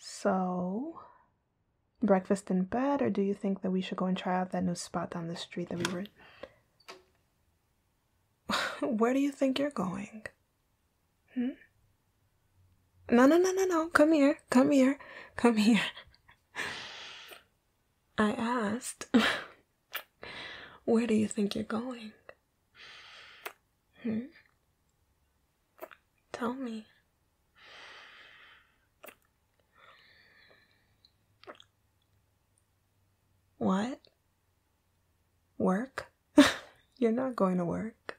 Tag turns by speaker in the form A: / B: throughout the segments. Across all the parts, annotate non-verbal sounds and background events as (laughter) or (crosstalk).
A: So, breakfast in bed, or do you think that we should go and try out that new spot down the street that we were? (laughs) Where do you think you're going? Hmm? No, no, no, no, no. Come here. Come here. Come here. (laughs) I asked, (laughs) Where do you think you're going? Hmm? Tell me. What? Work? (laughs) You're not going to work.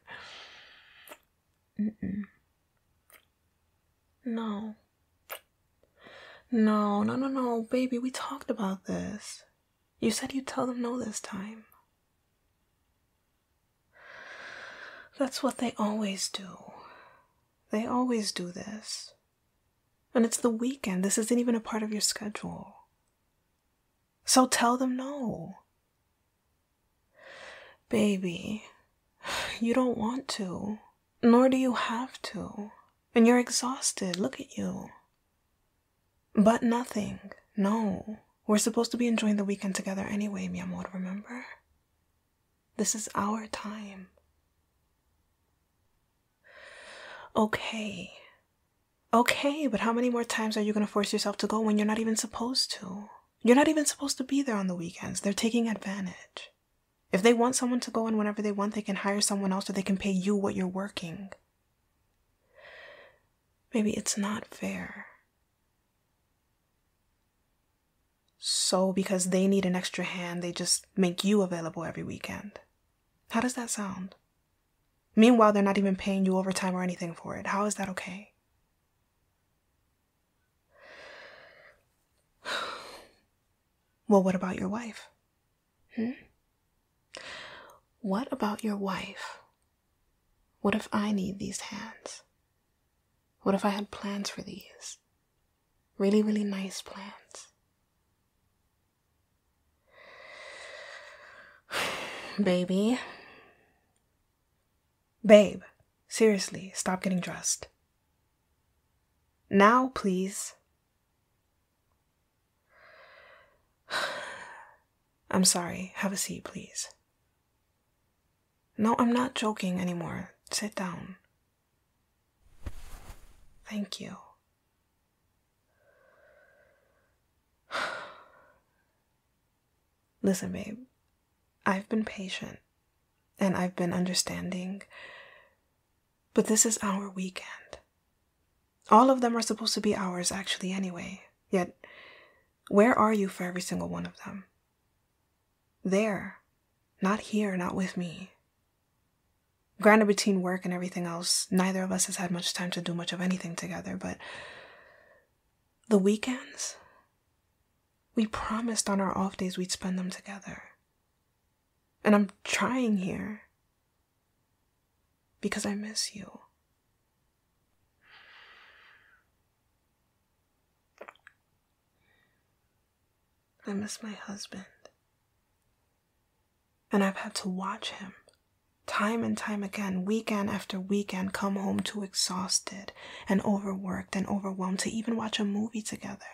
A: No. No, no, no, no, baby, we talked about this. You said you'd tell them no this time. That's what they always do. They always do this. And it's the weekend. This isn't even a part of your schedule. So tell them no. Baby, you don't want to, nor do you have to. And you're exhausted. Look at you. But nothing. No. We're supposed to be enjoying the weekend together anyway, mi amor, remember? This is our time. Okay. Okay, but how many more times are you going to force yourself to go when you're not even supposed to? You're not even supposed to be there on the weekends. They're taking advantage. If they want someone to go in whenever they want, they can hire someone else or they can pay you what you're working. Maybe it's not fair. So, because they need an extra hand, they just make you available every weekend. How does that sound? Meanwhile, they're not even paying you overtime or anything for it. How is that okay? (sighs) Well, what about your wife? Hmm? What about your wife? What if I need these hands? What if I had plans for these? Really, really nice plans. (sighs) Baby. Babe, seriously, stop getting dressed. Now, please. (sighs) I'm sorry. Have a seat, please. No, I'm not joking anymore. Sit down. Thank you. (sighs) Listen, babe, I've been patient and I've been understanding, but this is our weekend. All of them are supposed to be ours, actually, anyway. Yet, where are you for every single one of them? There, not here, not with me. Granted, between work and everything else, neither of us has had much time to do much of anything together, but the weekends, we promised on our off days we'd spend them together. And I'm trying here because I miss you. I miss my husband. And I've had to watch him time and time again, weekend after weekend, come home too exhausted and overworked and overwhelmed to even watch a movie together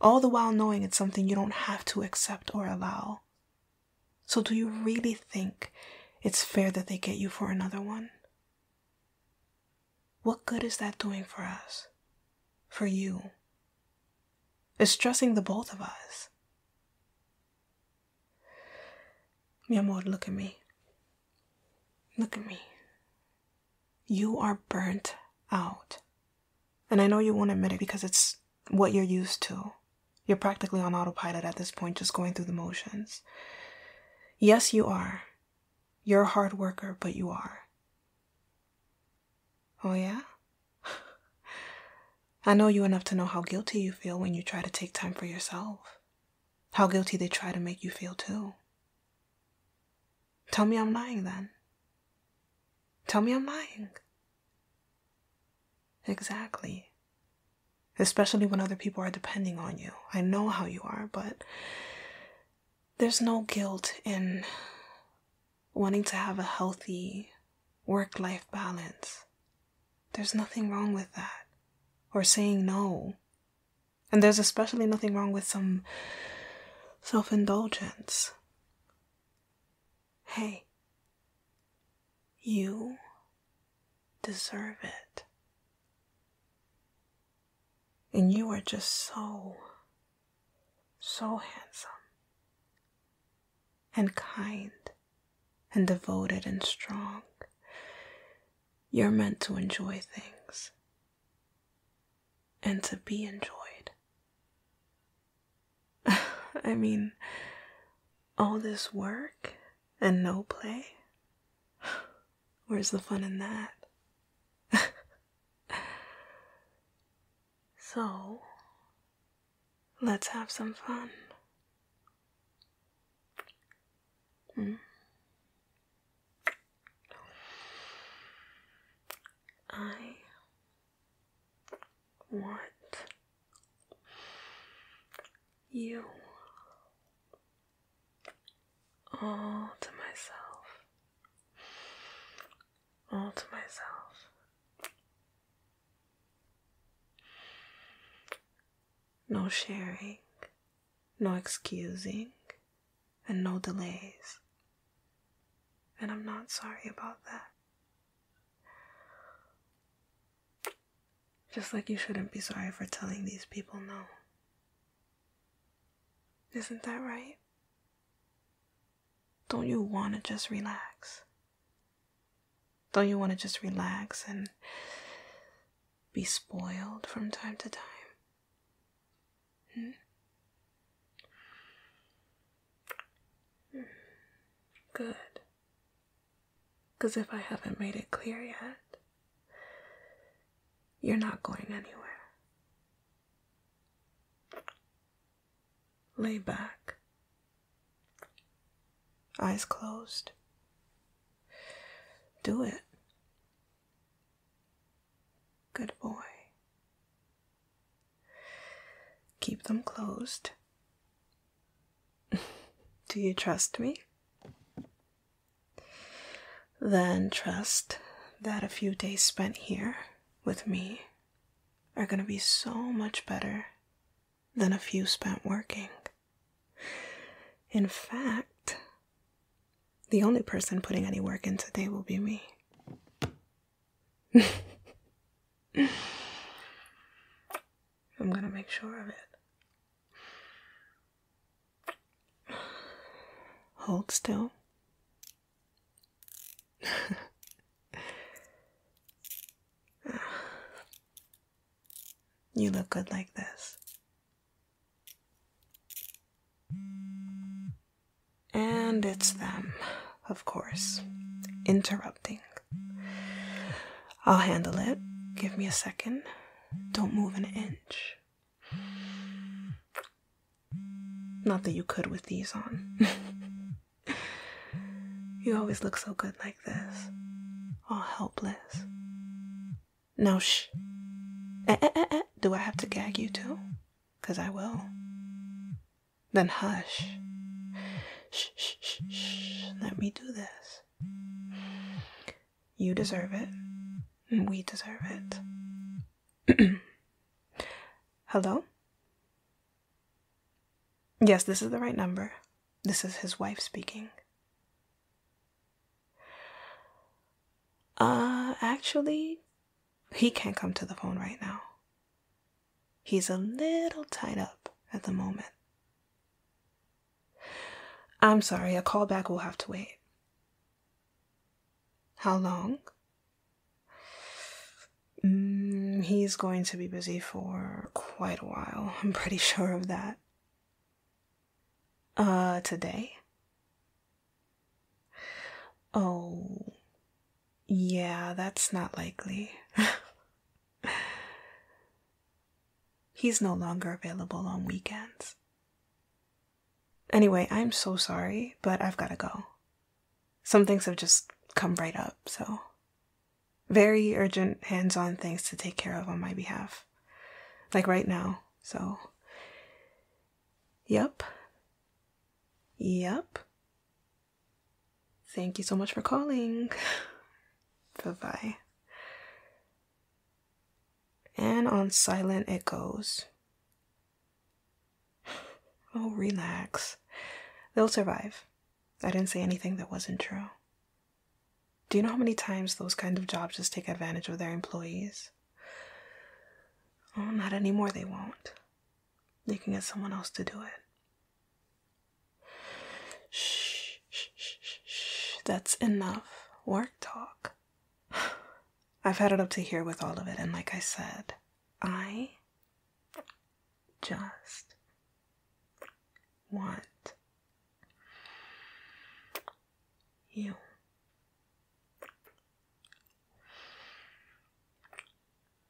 A: all the while knowing it's something you don't have to accept or allow. So, do you really think it's fair that they get you for another one? What good is that doing for us? For you? It's stressing the both of us. Mi amor, look at me. Look at me. You are burnt out. And I know you won't admit it because it's what you're used to. You're practically on autopilot at this point, just going through the motions. Yes, you are. You're a hard worker, but you are. Oh, yeah? (laughs) I know you enough to know how guilty you feel when you try to take time for yourself. How guilty they try to make you feel, too. Tell me I'm lying then. Tell me I'm lying. Exactly. Especially when other people are depending on you. I know how you are, but there's no guilt in wanting to have a healthy work life balance. There's nothing wrong with that. Or saying no. And there's especially nothing wrong with some self indulgence. Hey, you deserve it. And you are just so, so handsome and kind and devoted and strong. You're meant to enjoy things and to be enjoyed. (laughs) I mean, all this work and no play? (sighs) Where's the fun in that? (laughs) so, let's have some fun. Hmm? I want you all to myself, all to myself. No sharing, no excusing, and no delays. And I'm not sorry about that. Just like you shouldn't be sorry for telling these people no. Isn't that right? Don't you want to just relax? Don't you want to just relax and be spoiled from time to time? Hmm? Good. Because if I haven't made it clear yet, you're not going anywhere. Lay back, eyes closed. Do it. Good boy. Keep them closed. (laughs) Do you trust me? Then trust that a few days spent here with me are going to be so much better than a few spent working. In fact, the only person putting any work in today will be me. (laughs) I'm gonna make sure of it. Hold still. (laughs) you look good like this. And it's them, of course, interrupting. I'll handle it. Give me a second. Don't move an inch. Not that you could with these on. (laughs) you always look so good like this, all helpless. Now shh. Eh, eh, eh, do I have to gag you too? Because I will. Then hush. Shh, shh, shh, shh. Let me do this. You deserve it. We deserve it. (clears throat) Hello? Yes, this is the right number. This is his wife speaking. Uh, actually, he can't come to the phone right now. He's a little tied up at the moment. I'm sorry, a call back will have to wait. How long? Mm, he's going to be busy for quite a while, (laughs) I'm pretty sure of that. Uh, today? Oh, yeah, that's not likely. (laughs) He's no longer available on weekends. Anyway, I'm so sorry, but I've gotta go. Some things have just come right up, so. Very urgent, hands on things to take care of on my behalf like right now. So, yep. Yep. Thank you so much for calling. (laughs) bye bye. And on silent echoes. (sighs) Oh, relax. They'll survive. I didn't say anything that wasn't true. Do you know how many times those kind of jobs just take advantage of their employees? Oh, not anymore, they won't. They can get someone else to do it. Shh, shh, shh, shh. That's enough work talk. (sighs) I've had it up to here with all of it, and like I said, I just want you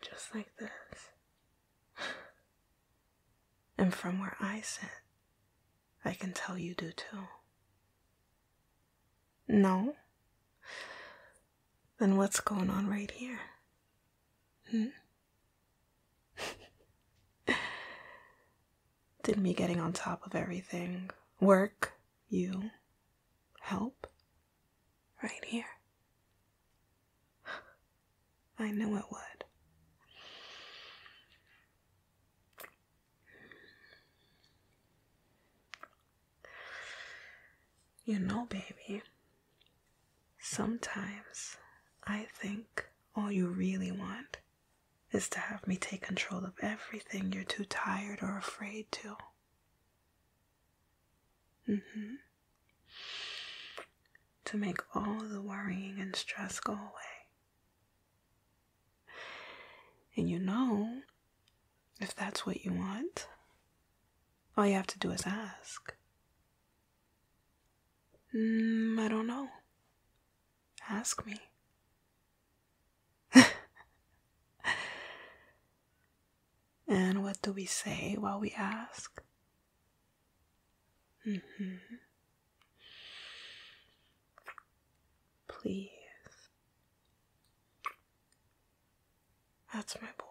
A: just like this. (laughs) And from where I sit, I can tell you do too. No? Then what's going on right here? Hmm? (laughs) Did me getting on top of everything work? You help? Right here. I know it would. You know, baby, sometimes I think all you really want is to have me take control of everything you're too tired or afraid to. Mm-hmm. To make all the worrying and stress go away. And you know, if that's what you want, all you have to do is ask. Mm, I don't know. Ask me. (laughs) and what do we say while we ask? Mm-hmm. Please. That's my boy.